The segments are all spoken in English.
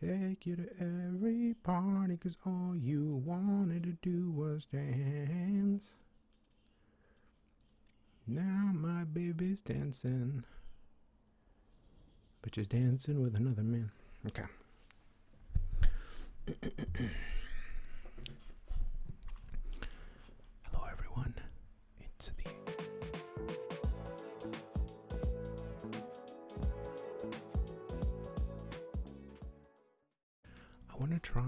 Take you to every party 'cause all you wanted to do was dance. Now my baby's dancing. But she's dancing with another man. Okay. Hello, everyone. It's the. I want to try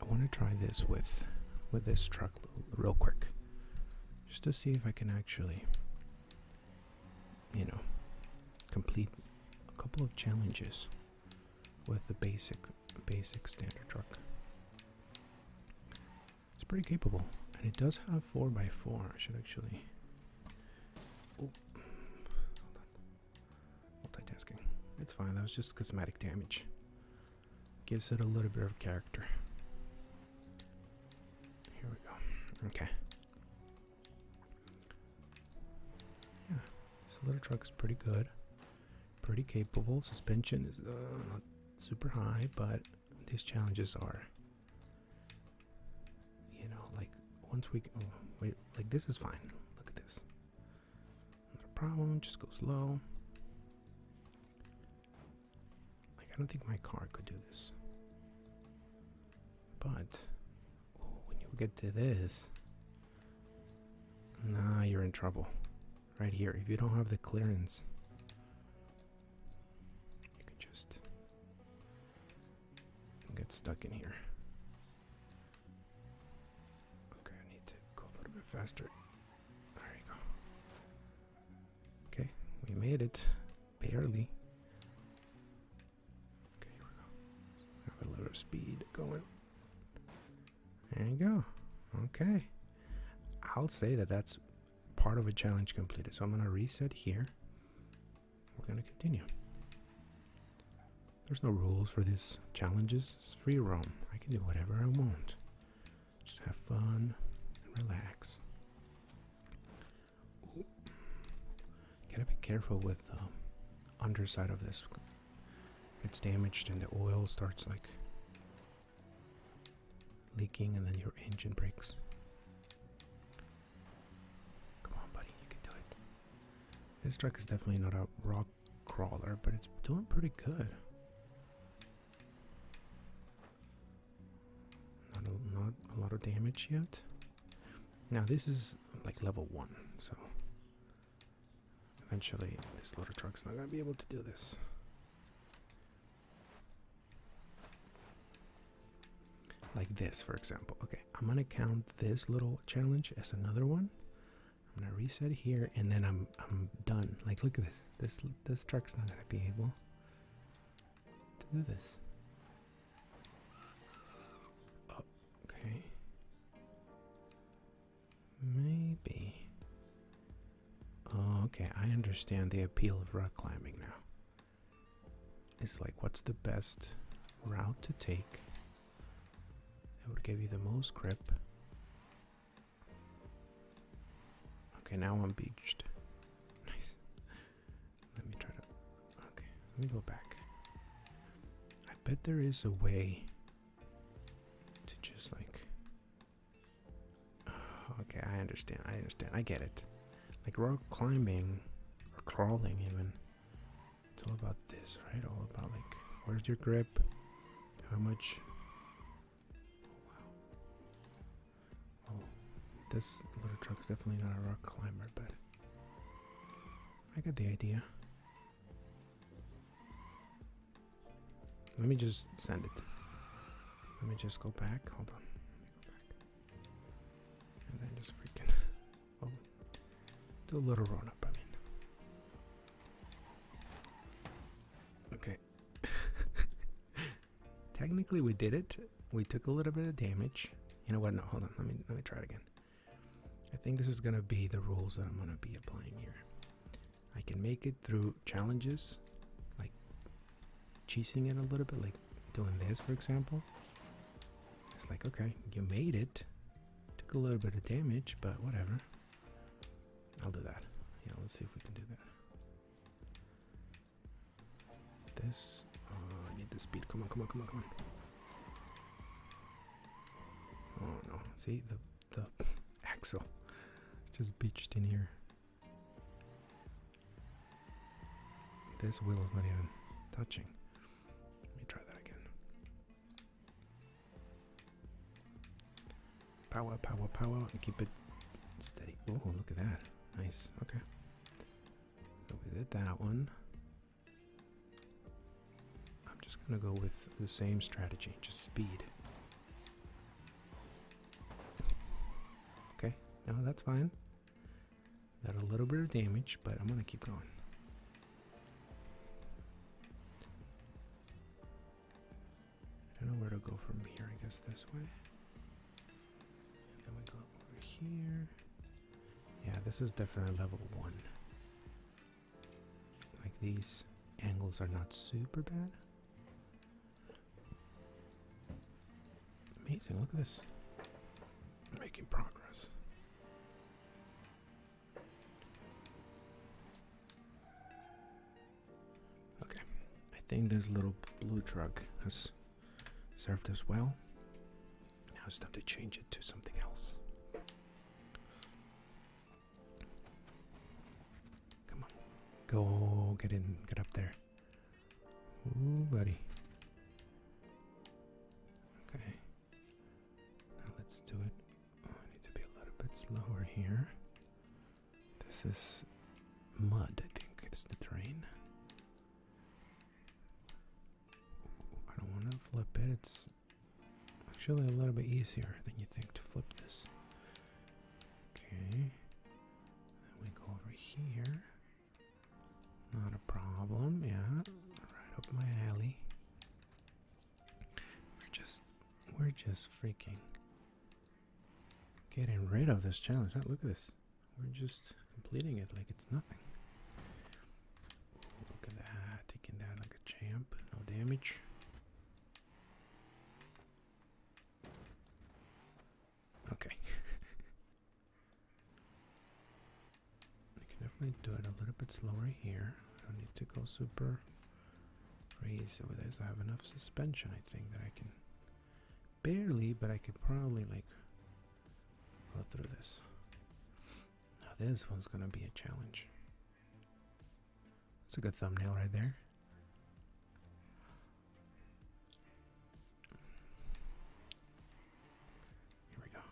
I want to try this with with this truck real quick just to see if I can actually you know complete a couple of challenges with the basic basic standard truck it's pretty capable. And it does have 4x4. I should actually. Oh, Multitasking. It's fine. That was just cosmetic damage. Gives it a little bit of character. Here we go. Okay. Yeah. This little truck is pretty good. Pretty capable. Suspension is uh, not super high, but these challenges are you know like once we oh, wait like this is fine look at this not problem just go slow like i don't think my car could do this but when you get to this nah you're in trouble right here if you don't have the clearance you can just get stuck in here. Okay, I need to go a little bit faster. There you go. Okay, we made it. Barely. Okay, here we go. have a little speed going. There you go. Okay. I'll say that that's part of a challenge completed. So I'm going to reset here. We're going to continue. There's no rules for these challenges. It's free roam. I can do whatever I want. Just have fun and relax. Gotta be careful with the underside of this. Gets damaged and the oil starts like leaking and then your engine breaks. Come on, buddy, you can do it. This truck is definitely not a rock crawler, but it's doing pretty good. Not a, lot of damage yet. Now this is like level one, so eventually this little truck's not gonna be able to do this. Like this, for example. Okay, I'm gonna count this little challenge as another one. I'm gonna reset here, and then I'm I'm done. Like, look at this. This this truck's not gonna be able to do this. Oh, okay. Maybe. Oh, okay, I understand the appeal of rock climbing now. It's like what's the best route to take that would give you the most grip. Okay, now I'm beached. Nice. Let me try to. Okay, let me go back. I bet there is a way to just like Okay, I understand. I understand. I get it. Like rock climbing or crawling, even. It's all about this, right? All about like where's your grip? How much? Oh, wow. Oh, this little truck's definitely not a rock climber, but I got the idea. Let me just send it. Let me just go back. Hold on. And then just freaking oh, do a little run up, I mean. Okay. Technically we did it. We took a little bit of damage. You know what? No, hold on. Let me let me try it again. I think this is gonna be the rules that I'm gonna be applying here. I can make it through challenges like cheesing it a little bit, like doing this, for example. It's like, okay, you made it. Took a little bit of damage, but whatever. I'll do that. Yeah, let's see if we can do that. This. Oh, I need the speed. Come on, come on, come on, come on. Oh no. See, the, the axle just beached in here. This wheel is not even touching. Let me try that again. Power, power, power, and keep it steady. Oh, look at that. Nice. Okay. we did that one. I'm just going to go with the same strategy, just speed. Okay, now that's fine. Got a little bit of damage, but I'm going to keep going. I don't know where to go from here. I guess this way. And then we go over here. Yeah, this is definitely level one. Like these angles are not super bad. Amazing, look at this. Making progress. Okay, I think this little blue truck has served us well. Now it's time to change it to something else. Come on, go get in, get up there. Ooh, buddy. Okay. Now let's do it. Oh, I need to be a little bit slower here. This is mud, I think. It's the terrain. I don't want to flip it. It's actually a little bit easier than you think to flip this. Okay. Then we go over here. Not a problem, yeah. Right up my alley. We're just we're just freaking getting rid of this challenge. Look at this. We're just completing it like it's nothing. look at that. Taking that like a champ. No damage. Okay. I can definitely do it a little bit slower here. I don't need to go super crazy with this. I have enough suspension, I think, that I can barely, but I could probably like go through this. Now this one's gonna be a challenge. That's a good thumbnail right there. Here we go.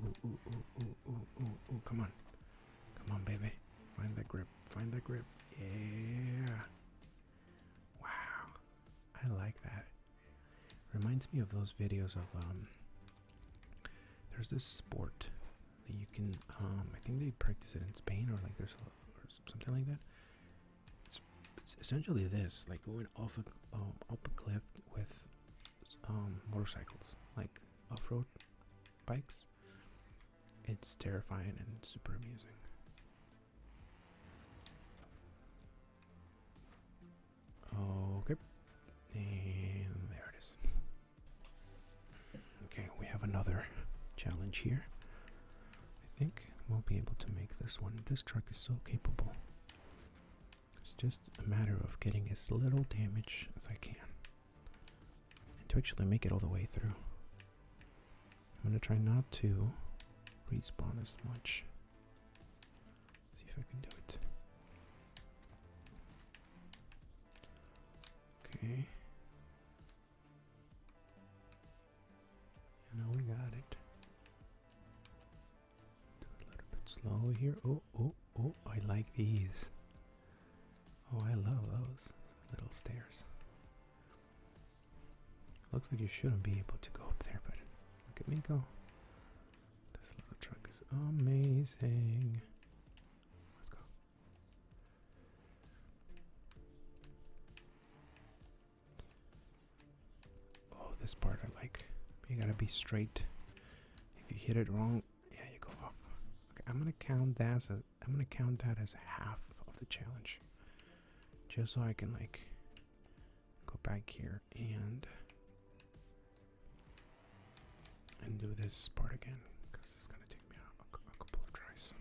Ooh, ooh, ooh, ooh, ooh, ooh, come on. Come on, baby. Find the grip. Find the grip. Yeah. Wow. I like that. Reminds me of those videos of, um, there's this sport that you can, um, I think they practice it in Spain or like there's or something like that it's, essentially this like going off a um, cliff with um, motorcycles like off-road bikes it's terrifying and super amusing okay and there it is okay we have another challenge here I think we'll be able to make this one. This truck is so capable. It's just a matter of getting as little damage as I can. And to actually make it all the way through. I'm going to try not to respawn as much. See if I can do it. Okay. You know we got it. Do a little bit slow here. Oh, oh, oh, I like these. Oh, I love those little stairs. Looks like you shouldn't be able to go up there, but look at me go. This little truck is amazing. Let's go. Oh, this part I like. You gotta be straight. If you hit it wrong, yeah, you go off. Okay, I'm gonna count that as i am I'm gonna count that as half of the challenge, just so I can like go back here and and do this part again because it's gonna take me a, a, a couple of tries.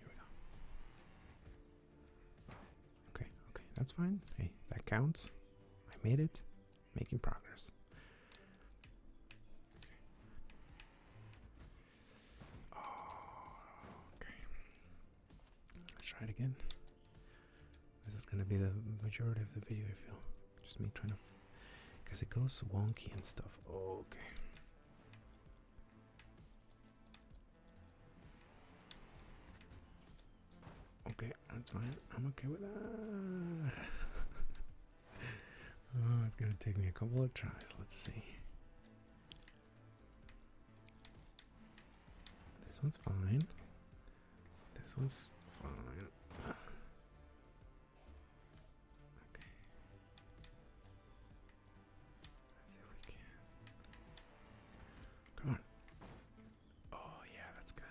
Here we go. Okay, okay, that's fine. Hey, that counts. I made it. Making progress. Oh, okay. Let's try it again. This is gonna be the majority of the video, if you'll. Just me trying to. Because it goes wonky and stuff. Okay. Okay, that's fine. I'm okay with that. oh, it's gonna take me a couple of tries. Let's see. This one's fine. This one's fine. Okay. Come on. Oh yeah, that's good.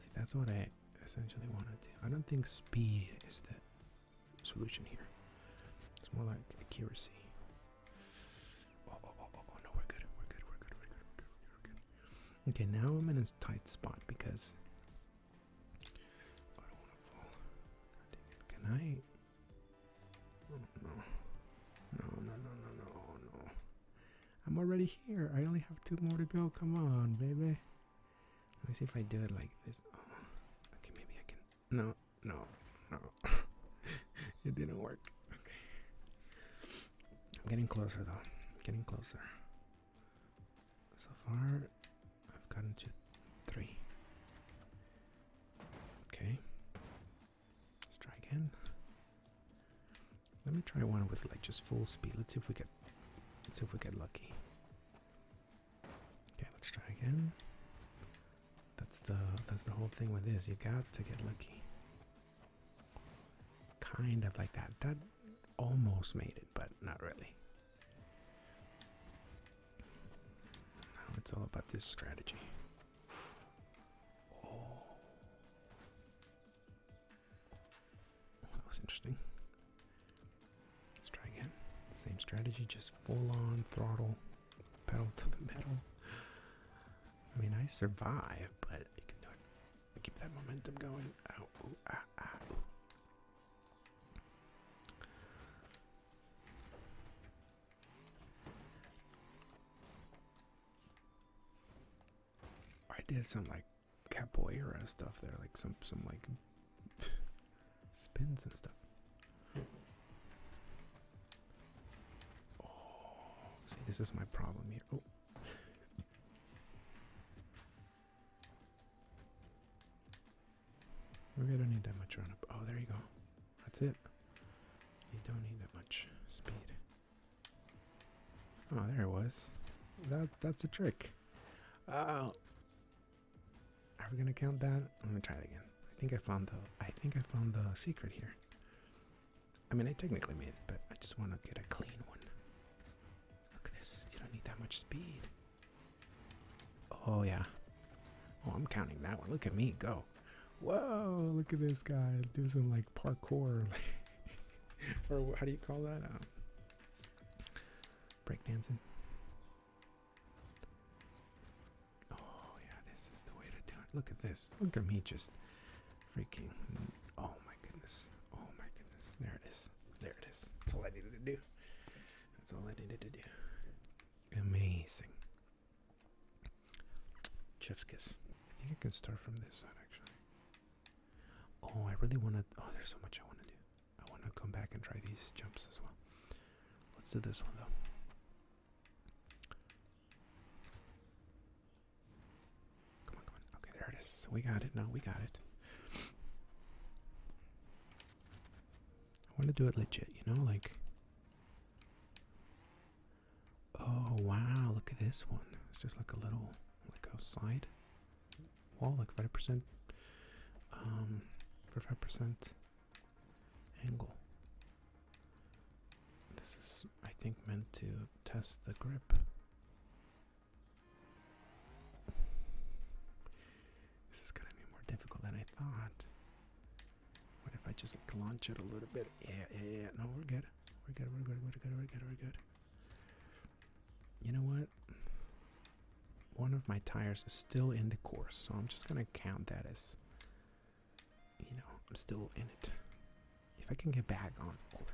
See, that's what I essentially want to do. I don't think speed is the solution here. It's more like accuracy. oh, oh, oh, oh no, we're good. We're good. We're good. We're good. We're good. We're good. Okay, now I'm in a tight spot because I Good mm, night. no. No, no, no, no, no. I'm already here. I only have two more to go. Come on, baby. Let me see if I do it like this. Oh, okay, maybe I can. No, no, no. it didn't work. Okay. I'm getting closer though. getting closer. So far, I've gotten to three. Okay. Let's try again. Let me try one with like just full speed. Let's see if we get let's see if we get lucky. Okay, let's try again. That's the that's the whole thing with this. You got to get lucky. Kind of like that. That almost made it, but not really. Now it's all about this strategy. Oh. That was interesting. Let's try again. Same strategy, just full on throttle, pedal to the metal. I mean, I survive, but you can do it. Keep that momentum going. Ah, ah, I did some like capoeira stuff there, like some some like spins and stuff. Oh, see, this is my problem here. Oh. We don't need that much run up. Oh, there you go. That's it. You don't need that much speed. Oh, there it was. That that's a trick. Oh. Are we gonna count that? I'm gonna try it again. I think I found the I think I found the secret here. I mean I technically made it, but I just wanna get a clean one. Look at this. You don't need that much speed. Oh, yeah. Oh, I'm counting that one. Look at me go. Whoa, look at this guy. Do some like parkour. or how do you call that? Um, breakdancing. Oh, yeah, this is the way to do it. Look at this. Look at me just freaking. Oh, my goodness. Oh, my goodness. There it is. There it is. That's all I needed to do. That's all I needed to do. Amazing. Chef's kiss. I think I can start from this side actually. Oh, I really want to. Oh, there's so much I want to do. I want to come back and try these jumps as well. Let's do this one though. Come on, come on. Okay, there it is. We got it. No, we got it. I want to do it legit, you know, like. Oh wow! Look at this one. It's just like a little, like outside wall, like 50 percent, um, for five percent angle. This is, I think, meant to test the grip. This is gonna be more difficult than I thought. What if I just launch it a little bit? Yeah, yeah, yeah. No, we're good. We're good. We're good. We're good. We're good. We're good. You know what? One of my tires is still in the course, so I'm just gonna count that as, you know, I'm still in it. If I can get back on course.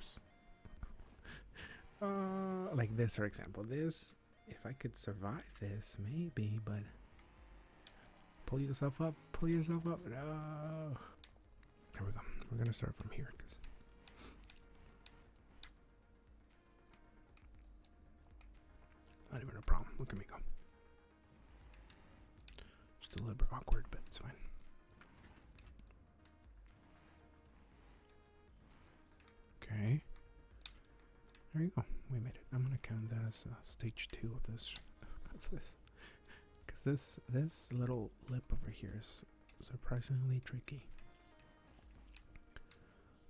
Uh, like this, for example, this if I could survive this, maybe, but pull yourself up, pull yourself up. No. There we go. We're gonna start from here because not even a problem. Look at me go. Just a little bit awkward, but it's fine. Okay. There you go. We made it. I'm gonna count that as uh, stage two of this, of this, because this this little lip over here is surprisingly tricky.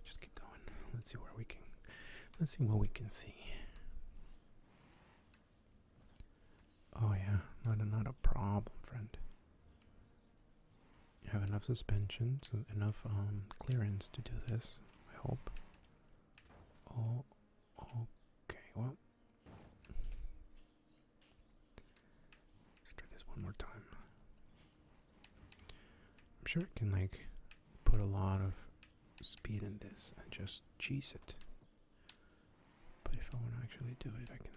Just keep going. Let's see where we can. Let's see what we can see. Oh yeah, not not a problem, friend. You have enough suspension, so enough um, clearance to do this. I hope. Oh, okay, well. let this one more time. I'm sure I can, like, put a lot of speed in this and just cheese it. But if I want to actually do it, I can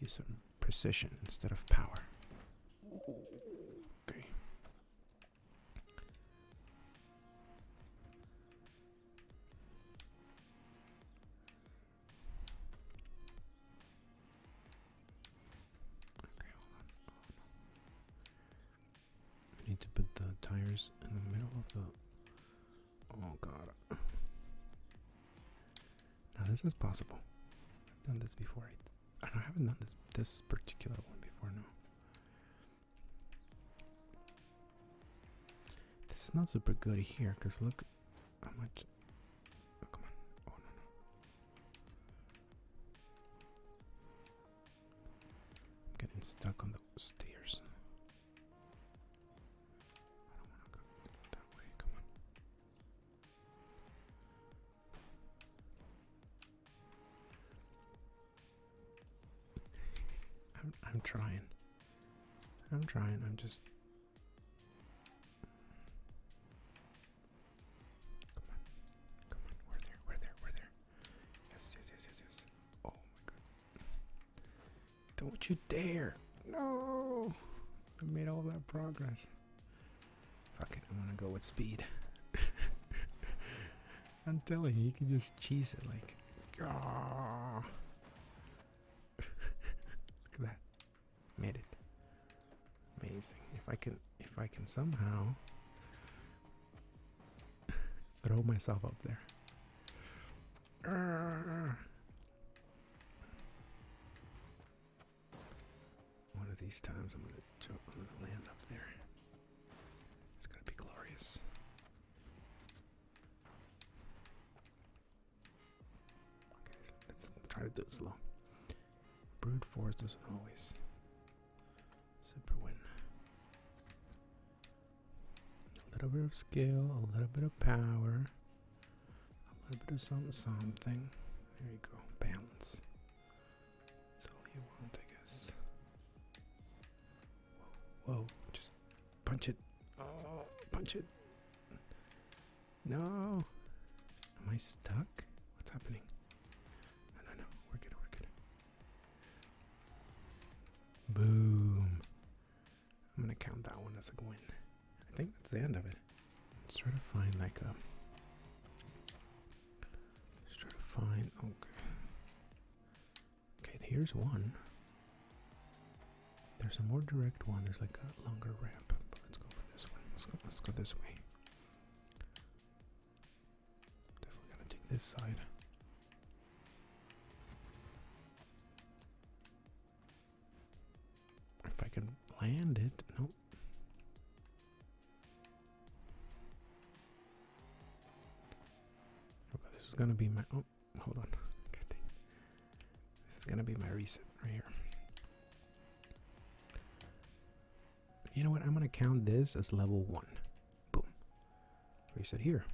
use some precision instead of power. Okay. need to put the tires in the middle of the. Oh god. now this is possible. I've done this before. I haven't done this this particular one before no. This is not super good here, cause look how much oh, oh, I'm getting stuck on the stairs. I'm, I'm trying. I'm trying. I'm just. Come on. Come on. We're there. We're there. We're there. Yes, yes, yes, yes, yes. Oh my god. Don't you dare. No. I made all that progress. Fuck it, I'm gonna go with speed. I'm telling you, you can just cheese it like. Look at that. Made it. Amazing. If I can if I can somehow throw myself up there. One of these times I'm gonna jump, I'm gonna land up there. It's gonna be glorious. Okay, let's try to do it slow. Brood force doesn't always. Super win. A little bit of skill, a little bit of power, a little bit of something, something. There you go, balance. It's Whoa, just punch it. Oh, punch it. No. Am I stuck? What's happening? No, no, no. We're good, we're good. Boom. I'm gonna count that one as a win. I think that's the end of it. Let's try to find like a. Let's try to find. Okay. Okay, here's one. There's a more direct one. There's like a longer ramp, but let's go for this one. Let's go. Let's go this way. Definitely gonna take this side. If I can land it, nope. Okay, this is gonna be my oh hold on. This is gonna be my reset right here. You know what? I'm gonna count this as level one. Boom. Reset here.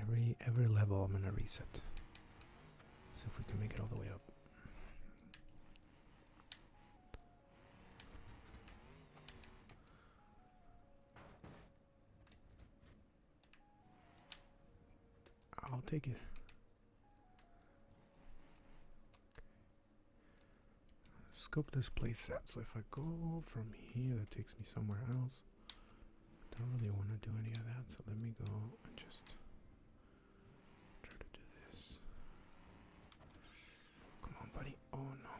Every every level I'm gonna reset. So if we can make it all the way up. I'll take it. Scope this place out. So if I go from here, that takes me somewhere else. Don't really want to do any of that, so let me go and just Try to do this. Come on, buddy. Oh no.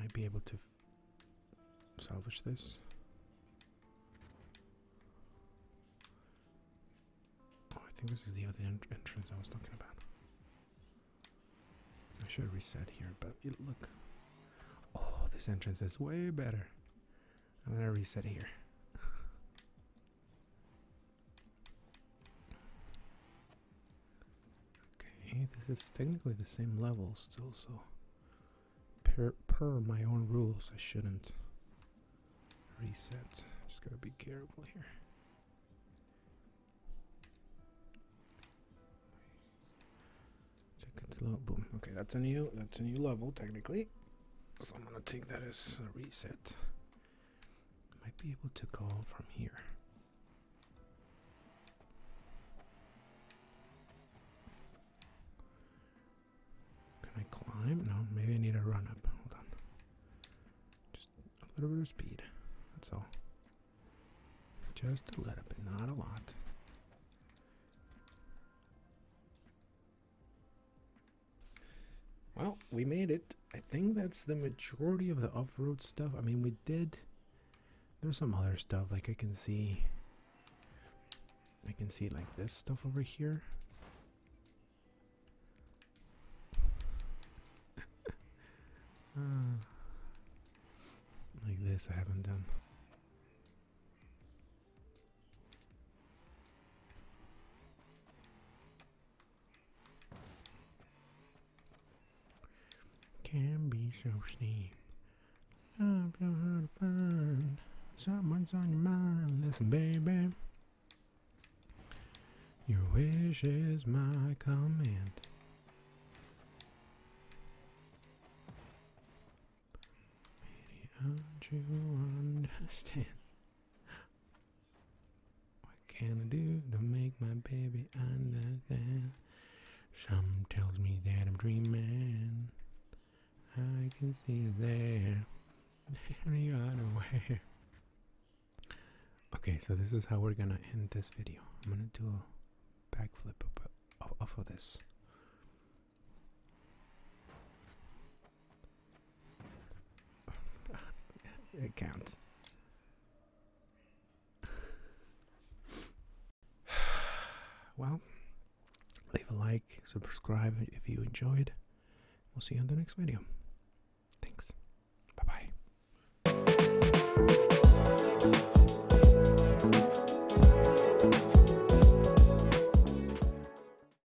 Might be able to salvage this. Oh, I think this is the other entrance I was talking about. I should reset here, but look. Oh, this entrance is way better. I'm gonna reset here. Okay, this is technically the same level still, so per, my own rules, I shouldn't reset. Just gotta be careful here. Check it slow. Okay, that's a new that's a new level technically. So I'm gonna take that as a reset. Might be able to go from here. Can I climb? No, maybe I need a run up. Hold on. Just a little bit of speed. That's all. Just a little bit, not a lot. Well, we made it. I think that's the majority of the off-road stuff. I mean, we did. There's some other stuff like I can see. I can see like this stuff over here. Ah. like this, I haven't done. Can be so steep. Love so hard to find. Someone's on your mind. Listen, baby. Your wish is my command. don't you understand? What can I do to make my baby understand? Some tells me that I'm dreaming. I can see there, there. There you are away. Okay, so this is how we're gonna end this video. I'm gonna do a backflip off of this. it counts. well, leave a like, subscribe if you enjoyed. We'll see you on the next video. Thanks. Bye bye.